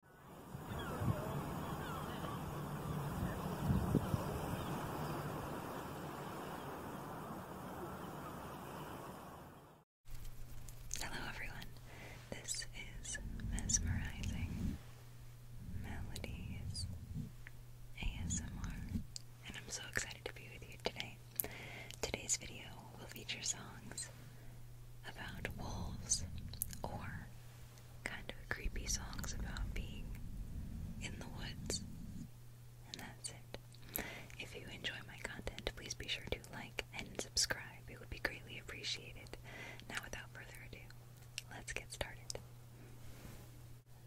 Hello, everyone. This is Mesmerizing Melodies ASMR, and I'm so excited to be with you today. Today's video will feature songs about wolves or kind of creepy songs about being in the woods. And that's it. If you enjoy my content, please be sure to like and subscribe. It would be greatly appreciated. Now, without further ado, let's get started.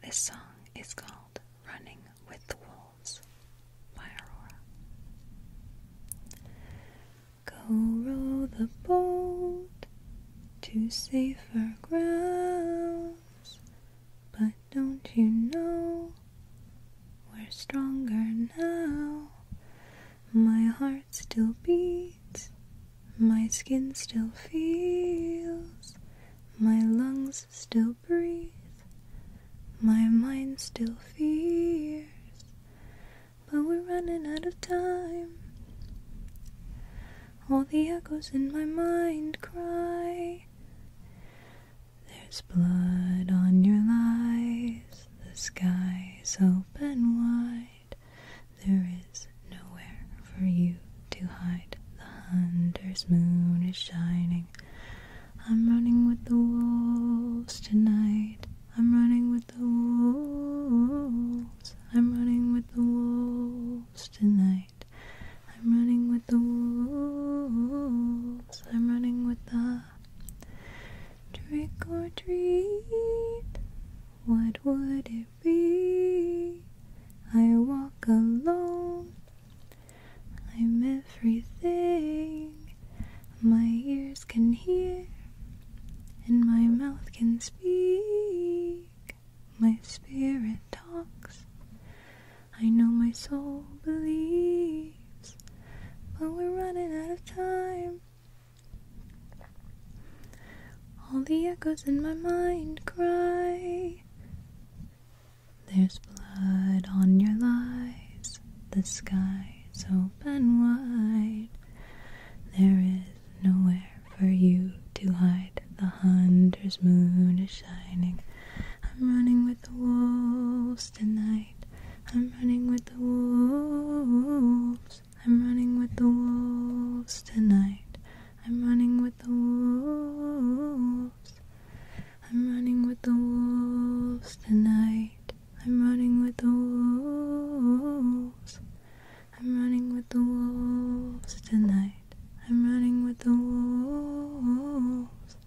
This song is called Running with the Wolves by Aurora. Go row the boat to safer grounds. But don't you know we're stronger now? My heart still beats, my skin still feels, my lungs still breathe, my mind still fears but we're running out of time. All the echoes in my mind cry. There's blood on your lies, the sky's open wide. There is nowhere for you to hide. The hunter's moon is shining. I'm running with the wolves tonight. I'm running with the wolves. I'm running with the wolves tonight. I'm running with the wolves. I'm running with the trick or treat. What would it be? I walk alone. I'm everything. My ears can hear and my mouth can speak. My spirit talks. I know my soul believes, but we're running out of time. All the echoes in my mind cry. There's blood on your lies, the sky eyes open wide. There is nowhere for you to hide. The hunter's moon is shining. I'm running with the wolves tonight. I'm running with the wolves. I'm running with the wolves tonight. I'm running with the wolves. I'm running with the wolves tonight. I'm running with the wolves. I'm running with the wolves tonight. I'm running with the wolves.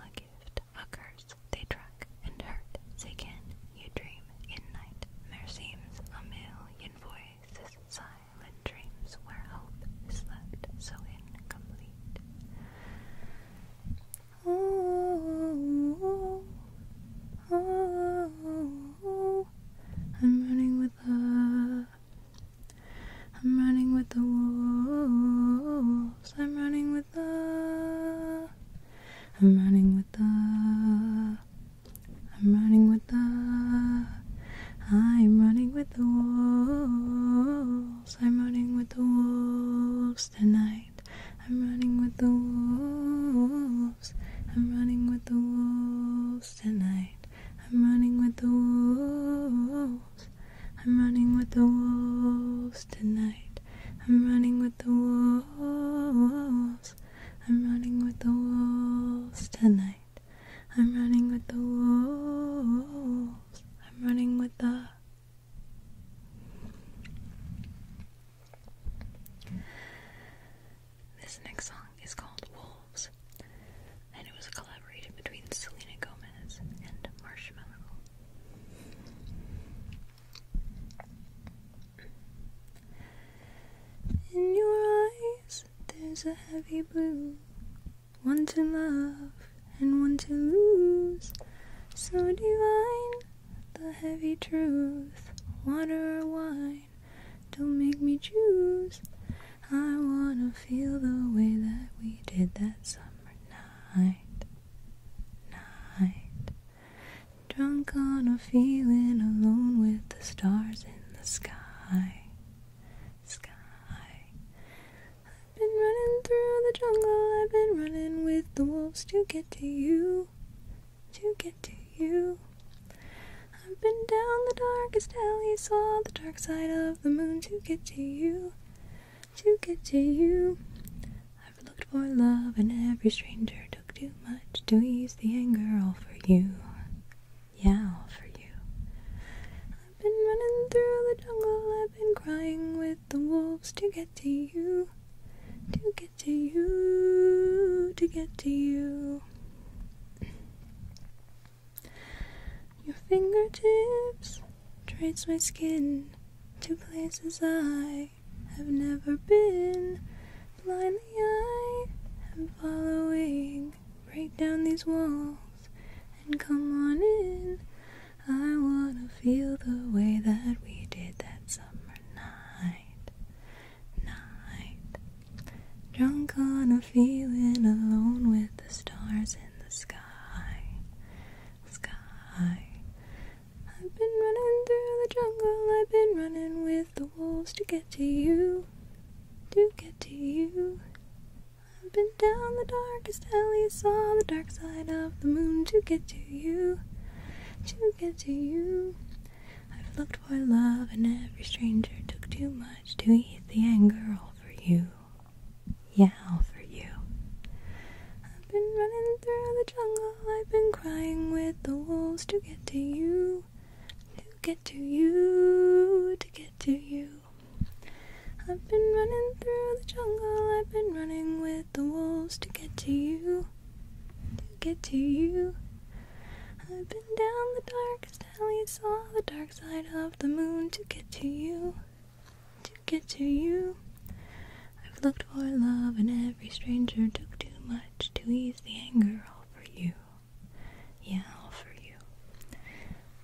A gift, a curse, they track and hurt. Say, you dream in night? There seems a million voices, silent dreams where hope is left so incomplete. Oh, oh, oh, I'm running with the. I'm running with the wolves. I'm running with the. I'm running with the. I'm running with the. I'm running with the wolves. I'm running with the wolves tonight. I'm running with the wolves. I'm running with the wolves tonight. I'm running with the wolves. I'm running with the wolves tonight. I'm running with the wolves. I'm running with the wolves tonight. I'm running with the wolves. I'm running with the this next song is called Wolves, and it was a collaboration between Selena Gomez and Marshmallow. In your eyes, there's a heavy blue, one to love and one to lose, so divine the heavy truth. Water or wine, don't make me choose. I wanna feel the way that we did that summer night. Night. Drunk on a feeling alone with the stars in the sky. Sky. I've been running through the jungle, I've been running with the wolves to get to you, to get to you. I've been down the darkest alley, saw the dark side of the moon to get to you, to get to you. I've looked for love, and every stranger took too much to ease the anger, all for you. Yeah, all for you. I've been running through the jungle, I've been crying with the wolves to get to you to get to you, to get to you. Your fingertips trace my skin to places I have never been. Blindly I am following. Break down these walls and come on in. I wanna feel the way that we did that summer night, night. Drunk on a feeling alone with the stars in the sky, sky. I've been running through the jungle, I've been running with the wolves to get to you, to get to you. I've been down the darkest alleys, saw the dark side of the moon to get to you, to get to you. I've looked for love and every stranger took too much to eat the anger all for you. Yeah, all for you. I've been running through the jungle, I've been crying with the wolves to get to you, to get to you, to get to you. I've been running through the jungle, I've been running with the wolves to get to you, to get to you. I've been down the darkest alley, saw the dark side of the moon to get to you, to get to you. I've looked for love, and every stranger took too much to ease the anger. All for you, yeah, all for you.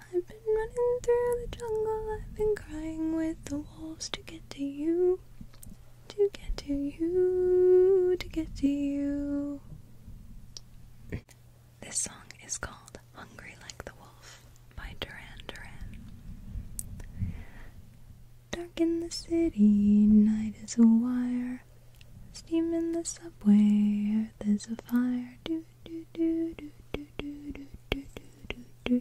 I've been running through the jungle, I've been crying with the wolves to get to you you, to get to you, to get to you. This song is called Hungry Like the Wolf by Duran Duran. Dark in the city, night is a wire. Steam in the subway, there's a fire. Do do do do do do do do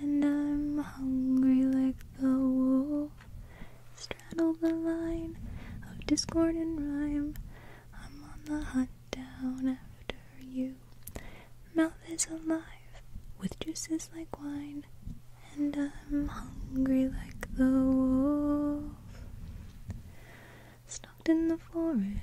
and I'm hungry like the wolf. Straddle the line of discord and rhyme. I'm on the hunt down after you. Mouth is alive with juices like wine, and I'm hungry like the wolf. Stalked in the forest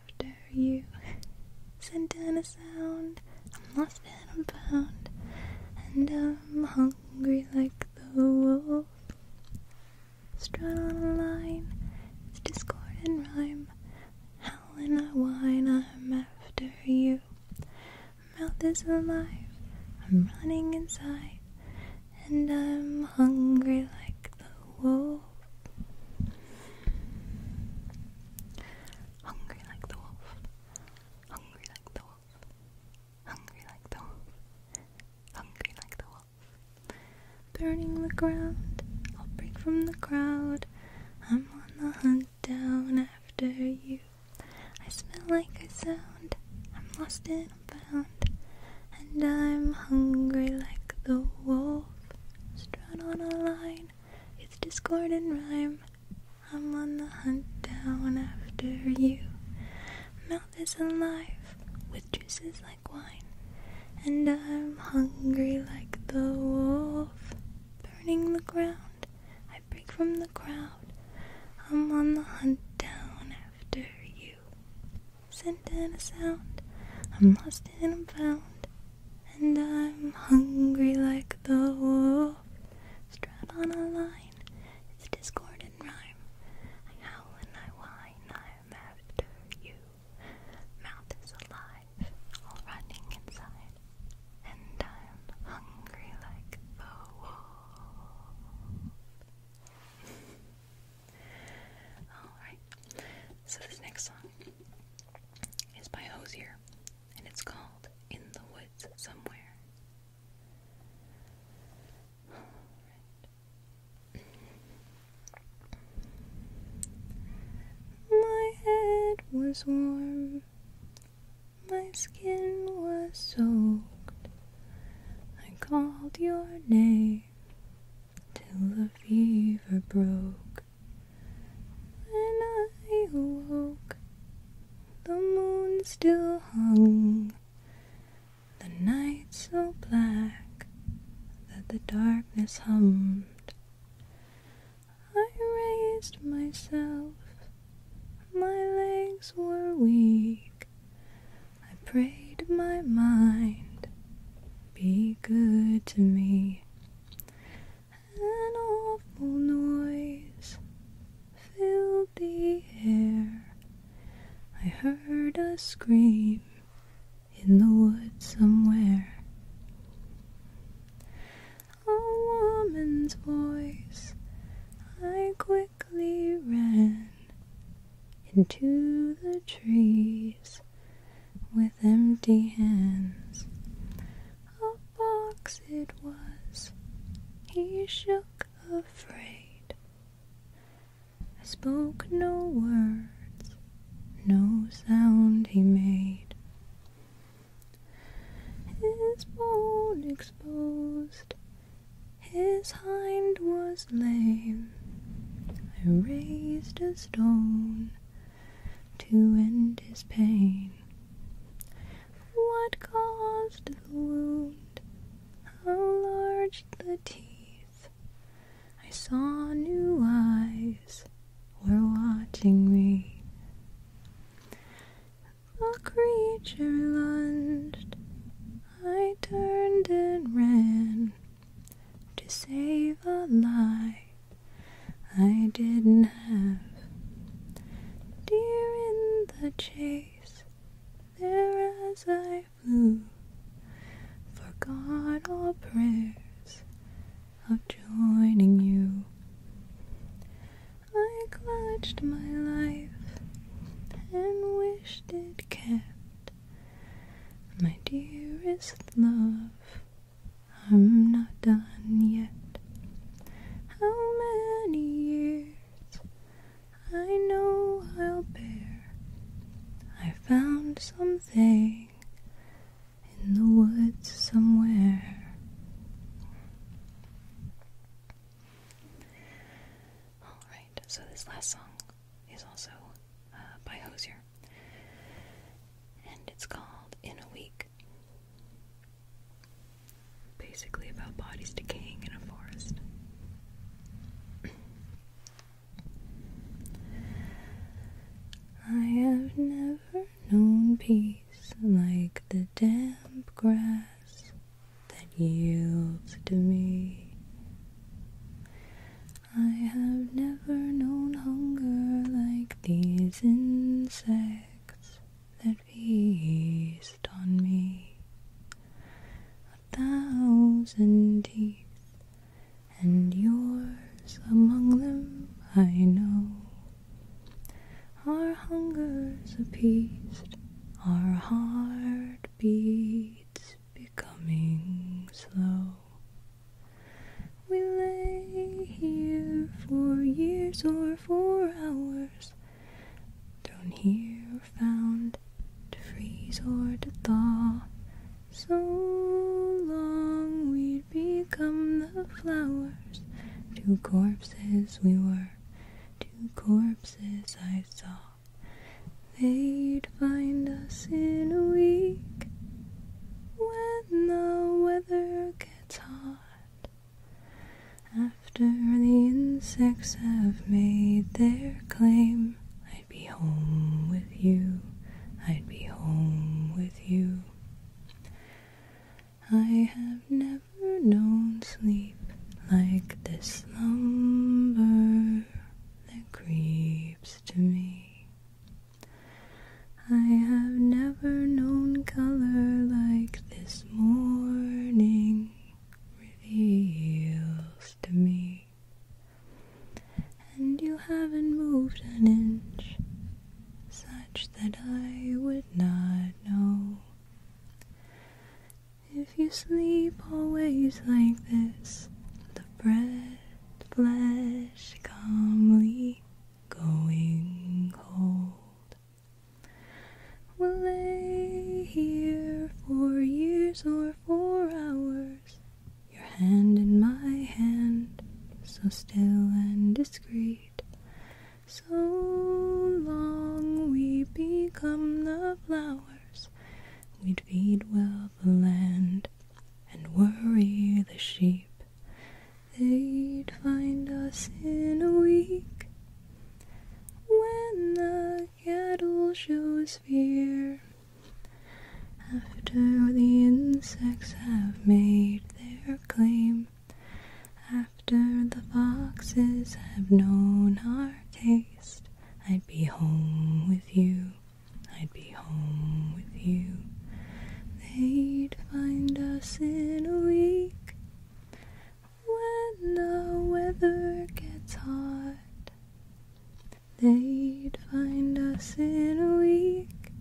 after you sent down a sound. I'm lost and I'm found, and I'm hungry like the wolf. Strut on a line, it's discord and rhyme. Howlin' I whine, I'm after you. mouth is alive, I'm running inside, and I'm hungry like the wolf. Hungry like the wolf. Hungry like the wolf. Hungry like the wolf. Hungry like the wolf. Burning the ground. I'll break from the crowd. I'm on the hunt down after you. I smell like a sound. I'm lost and I'm found. And I'm hungry like the wolf. Strut on a line, it's discord and rhyme. I'm on the hunt down after you. Mouth is alive with juices like wine. And I'm hungry like the wolf. Burning the ground, I break from the crowd. I'm on the hunt down after you sent in a sound. I'm lost and I'm found, and I'm hungry like the wolf. Strap on a line, it's discord and rhyme. I howl and I whine, I'm after you. Mouth is alive, all running inside, and I'm hungry like the wolf. Alright, so this next song is by Hosier, and it's called In the Woods Somewhere. My head was warm, my skin was soaked. I called your name till the fever broke. When I awoke, the moon still hung, the night so black that the darkness hummed. I raised myself, my legs were weak. I prayed my mind, be good to me. An awful noise filled the air. I heard a scream in the woods somewhere. A woman's voice, I quickly ran into the trees with empty hands. A box it was, he shook afraid. I spoke no words, no sound he made. His bone exposed, his hind was lame, I raised a stone to end his pain. What caused the wound? How large the teeth? I saw new eyes were watching me. The creature lunged. I turned and ran to save a life, I didn't have. Deer in the chase, there as I flew, forgot all prayers of joining you. I clutched my life and wished it kept my dearest love, I'm not done yet. How many years I know I'll bear. I found something in the woods somewhere. So this last song is also uh, by Hosier, and it's called "In a Week." Basically about bodies decaying in a forest. I have never known peace like the damp grass that yields to me. I have never known hunger like these insects that feast on me. A thousand teeth, and yours among them I know. Our hunger's appeased, our heart beats becoming slow. We lay here for years or for hours, thrown here or found to freeze or to thaw. So long we'd become the flowers, two corpses we were, two corpses I saw. They'd find us in a week when the weather gets hot. After the insects have made their claim, I'd be home with you, I'd be home with you. I have never known sleep like this slumber creeps to me. I have never known color like this morning reveals to me. And you haven't moved an inch, such that I would not know. If you sleep always like this, the bread flesh calmly going cold we will lay here for years or for hours, your hand in my hand, so still and discreet. So long we become the flowers We'd feed well the land and worry the sheep. They'd find us in a week when the cattle shows fear. After the insects have made their claim, after the foxes have known our taste, I'd be home with you. I'd be home with you. They'd find us in a week when the weather gets hot. They'd find us in a week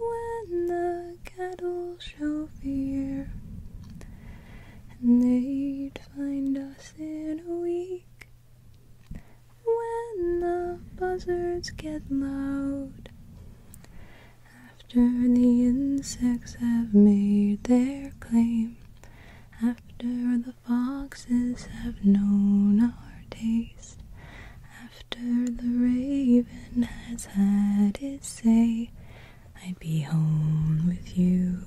when the cattle show fear. And they'd find us in a week when the buzzards get loud, after the insects have made their claim, after the foxes have known our taste, after the raven has had its say, I'd be home with you,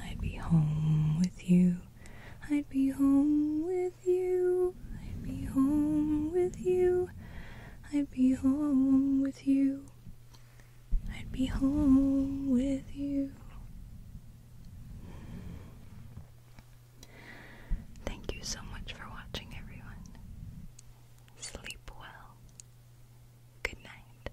I'd be home with you. I'd be home with you. I'd be home with you. I'd be home with you. I'd be home with you. Thank you so much for watching, everyone. Sleep well. Good night.